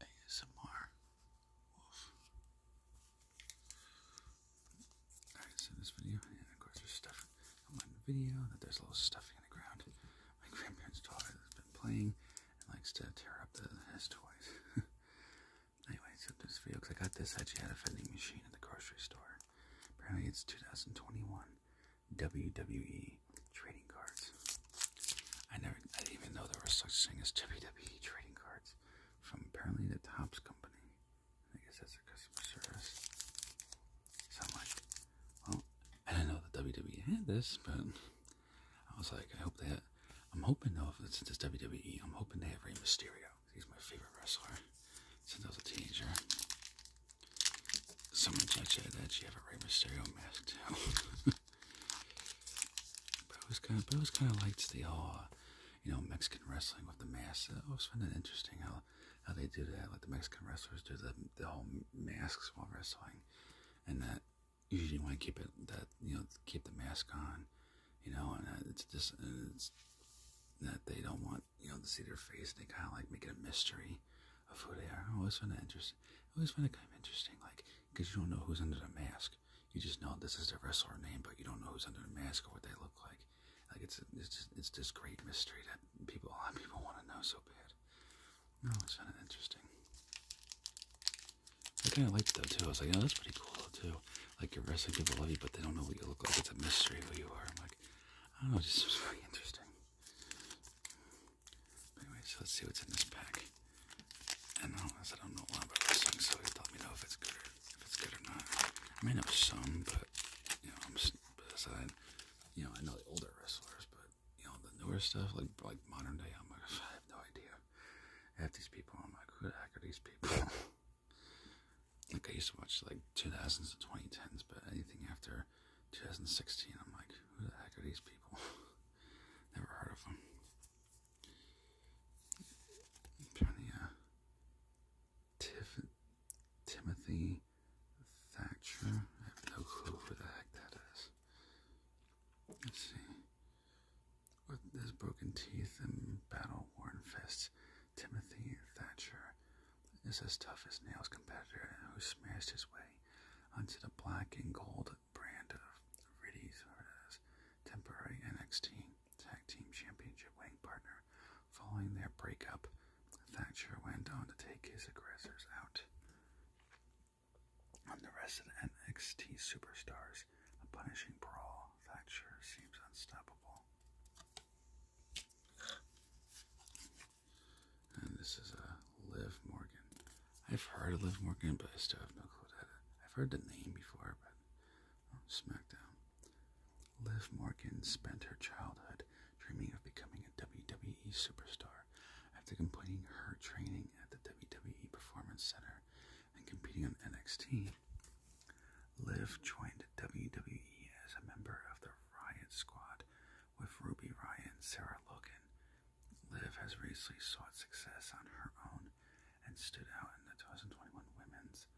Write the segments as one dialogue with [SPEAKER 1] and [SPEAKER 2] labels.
[SPEAKER 1] ASMR Alright, so this video, and of course there's stuff on the video, that there's a little stuffy on the ground. My grandparents' daughter has been playing and likes to tear up his toys. anyway, so this video, I got this actually had a vending machine at the grocery store. Apparently it's 2021 WWE trading cards. I never, I didn't even know there was such thing as WWE trading cards from apparently the Tops company. I guess that's their customer service. So I'm like, well, I didn't know the WWE had this, but I was like, I hope they. I'm hoping though, since it's WWE, I'm hoping they have Rey Mysterio. He's my favorite wrestler since I was a teenager. Someone said that you have a Rey Mysterio mask too. Bro's kind of, Bro's kind of likes the whole, uh, you know, Mexican wrestling with the mask. I always find it interesting how how they do that. Like the Mexican wrestlers do the the whole masks while wrestling, and that usually want to keep it that you know keep the mask on, you know, and uh, it's just and it's that they don't want you know to see their face. They kind of like make it a mystery of who they are. I always find that interesting. I always find it kind of interesting, like because you don't know who's under the mask. You just know this is the wrestler name, but you don't know who's under the mask or what they look like. Like it's it's just, it's this great mystery that people a lot of people want to know so bad. No, oh, it's kind of interesting. I kind of liked it though too. I was like, oh, that's pretty cool too. Like you're wrestling people love you, but they don't know what you look like. It's a mystery who you are. I'm like, I don't know, just was very interesting. Anyway, so let's see what's in this pack. And I don't know a lot about let me know if it's good if it's good or not. I may know some, but you know, I'm beside. You know, I know the older wrestlers, but you know, the newer stuff, like like modern day, i have no idea. Half these people, I'm like, who the heck are these people? like I used to watch like 2000s and 2010s, but anything after 2016, I'm like, who the heck are these people? Never heard of them. Sonia Timothy Thatcher. I have no clue who the heck that is. Let's see. With his broken teeth and battle-worn fists, Timothy Thatcher is as tough as nails competitor who smashed his way onto the black and gold brand of Riddies as temporary NXT Tag Team Championship winning partner. Following their breakup, Thatcher went on to take his aggressors out. and the rest of the NXT superstars, a punishing brawl, Thatcher seems unstoppable. And this is a uh, Liv Morgan. I've heard of Liv Morgan, but I still have no clue that I've heard the name before, but oh, SmackDown. Liv Morgan spent her childhood dreaming of becoming a WWE superstar after completing her training at the WWE Performance Center and competing on NXT. Liv joined WWE as a member of the Riot Squad with Ruby Riot and Sarah Logan, Liv has recently sought success on her own and stood out in the 2021 Women's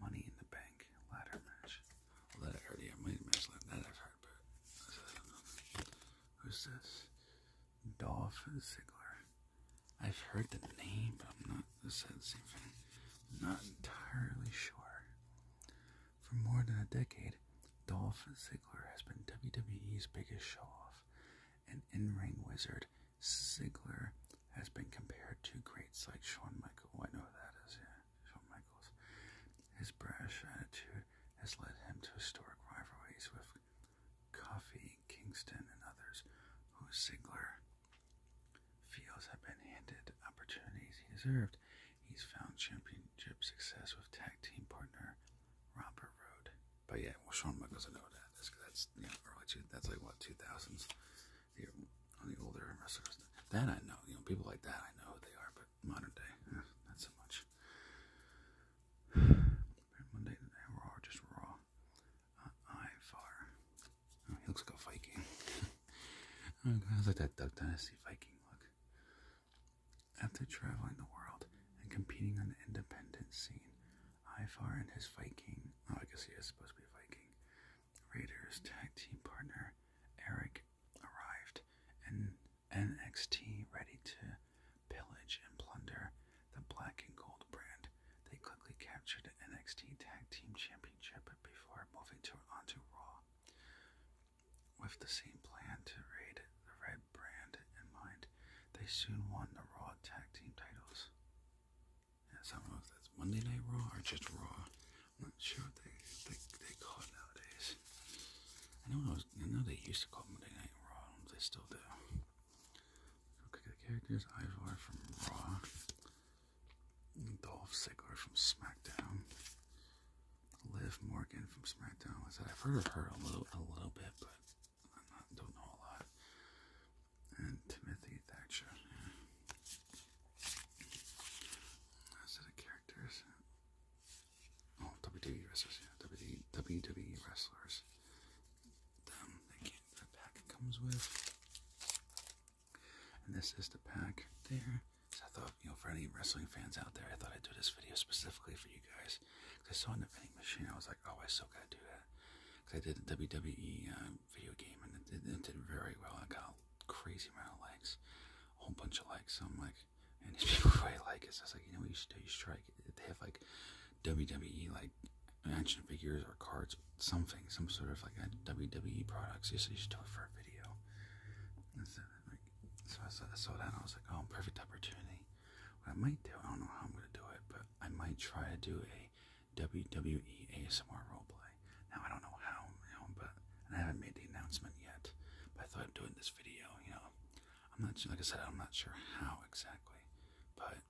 [SPEAKER 1] Money in the Bank ladder match. Well, yeah, money match like that I've Who's this? Dolph Ziggler. I've heard the name, but I'm not. the same thing. not entirely sure. For more than a decade, Dolph Ziggler has been WWE's biggest showoff and in-ring wizard, Ziggler has been compared to greats like Shawn Michaels. Oh, I know who that is, yeah, Shawn Michaels. His brash attitude has led him to historic rivalries with Coffee, Kingston, and others who Ziggler feels have been handed opportunities he deserved. He's found championship success with tag team partner Robert Road. But yeah, well, Sean Michaels, I know that. That's, that's you know, early two, that's like what, 2000s? On the older wrestlers. That I know. You know, people like that, I know who they are, but modern day, eh, not so much. Monday, Raw, just Raw. Uh, Ivar. Oh, he looks like a Viking. Oh, I like that Duck Dynasty Viking look. After traveling the world, and competing on the independent scene. Ivar and his Viking, oh, I guess he is supposed to be a Viking, Raiders tag team partner Eric arrived and NXT ready to pillage and plunder the black and gold brand. They quickly captured NXT Tag Team Championship before moving to onto Raw with the same plan to raid the Red Brand in mind, they soon won the Raw Tag Team titles. And I don't that's Monday Night Raw or just Raw. I'm not sure what they, they, they call it nowadays. I know, I know they used to call Monday Night Raw, they still do. Okay, the characters Ivar from Raw, Dolph Ziggler from SmackDown, Liv Morgan from SmackDown. Like I I've heard of her a little, a little bit, but i don't know a lot. And Timothy Thatcher. Those the characters. Oh, WWE wrestlers, WWE, WWE wrestlers. Them, the pack it comes with. And this is the pack there. I thought, you know, for any wrestling fans out there, I thought I'd do this video specifically for you guys. Because I saw in the vending machine, I was like oh, I still gotta do that. Because I did a WWE um, video game and it, did very well. I got a crazy amount of likes, a whole bunch of likes. So I'm like, and these people really like it. So I was like, you know what you should do? You strike. try. They have like WWE like action figures or cards, something, some sort of like WWE products. you should do it for a video. And so, like, so I saw, I saw that and I was like, oh, perfect opportunity. What I might do, I don't know how I'm gonna do it, but I might try to do a WWE ASMR roleplay. Now I don't know how, you know, but and I haven't made the announcement yet. But I thought of doing this video, you know. I'm not sure, like I said, I'm not sure how exactly, but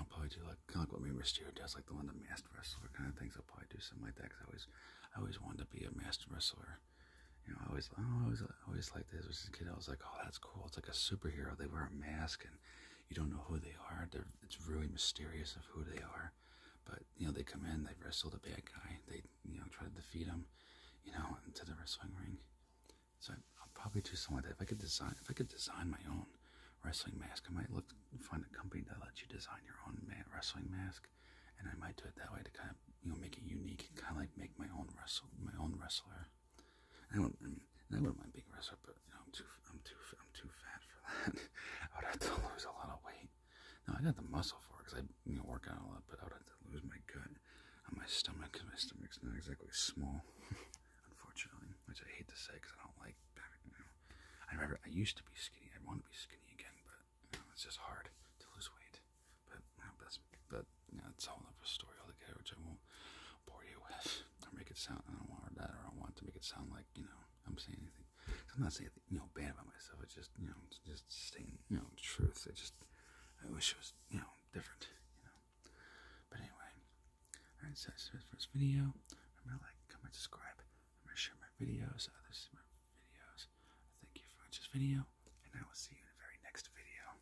[SPEAKER 1] I'll probably do like kind of like what Rey Mysterio does, like the one the masked wrestler kind of things. I'll probably do something like that because I always, I always wanted to be a masked wrestler. You know, I always, I always always always oh, liked this as a kid. I was like, oh, that's cool. It's like a superhero. They wear a mask and you don't know who they are. They're, it's really mysterious of who they are. But you know, they come in, they wrestle the bad guy. They you know try to defeat him. You know, into the wrestling ring. So I, I'll probably do something like that. If I could design, if I could design my own wrestling mask, I might look find a company that lets you design your own wrestling mask, and I might do it that way to kind of you know make it unique, kind of like make my own wrestle my own wrestler. I would, I I wouldn't mind being a wrestler, but you know, I'm too, I'm too, I'm too fat for that. I would have to lose a lot of weight. Now I got the muscle for it because I you work out a lot, but I would have to lose my gut and my stomach because my stomach's not exactly small, unfortunately, which I hate to say because I don't like. You know, I remember I used to be skinny. I want to be skinny again, but it's just hard to lose weight. But that's but yeah, it's all whole other story altogether, which I won't bore you with or make it sound. I don't want that, or I want to make it sound like you know I'm saying anything. I'm not saying anything, you know bad about myself. It's just you know just stating you know truth. I just I wish it was you know different. You know, but anyway, all right. So that's it for this video. going to like, comment, subscribe. I'm going to share my videos. Others my videos. Thank you for watching this video, and I will see you in the very next video.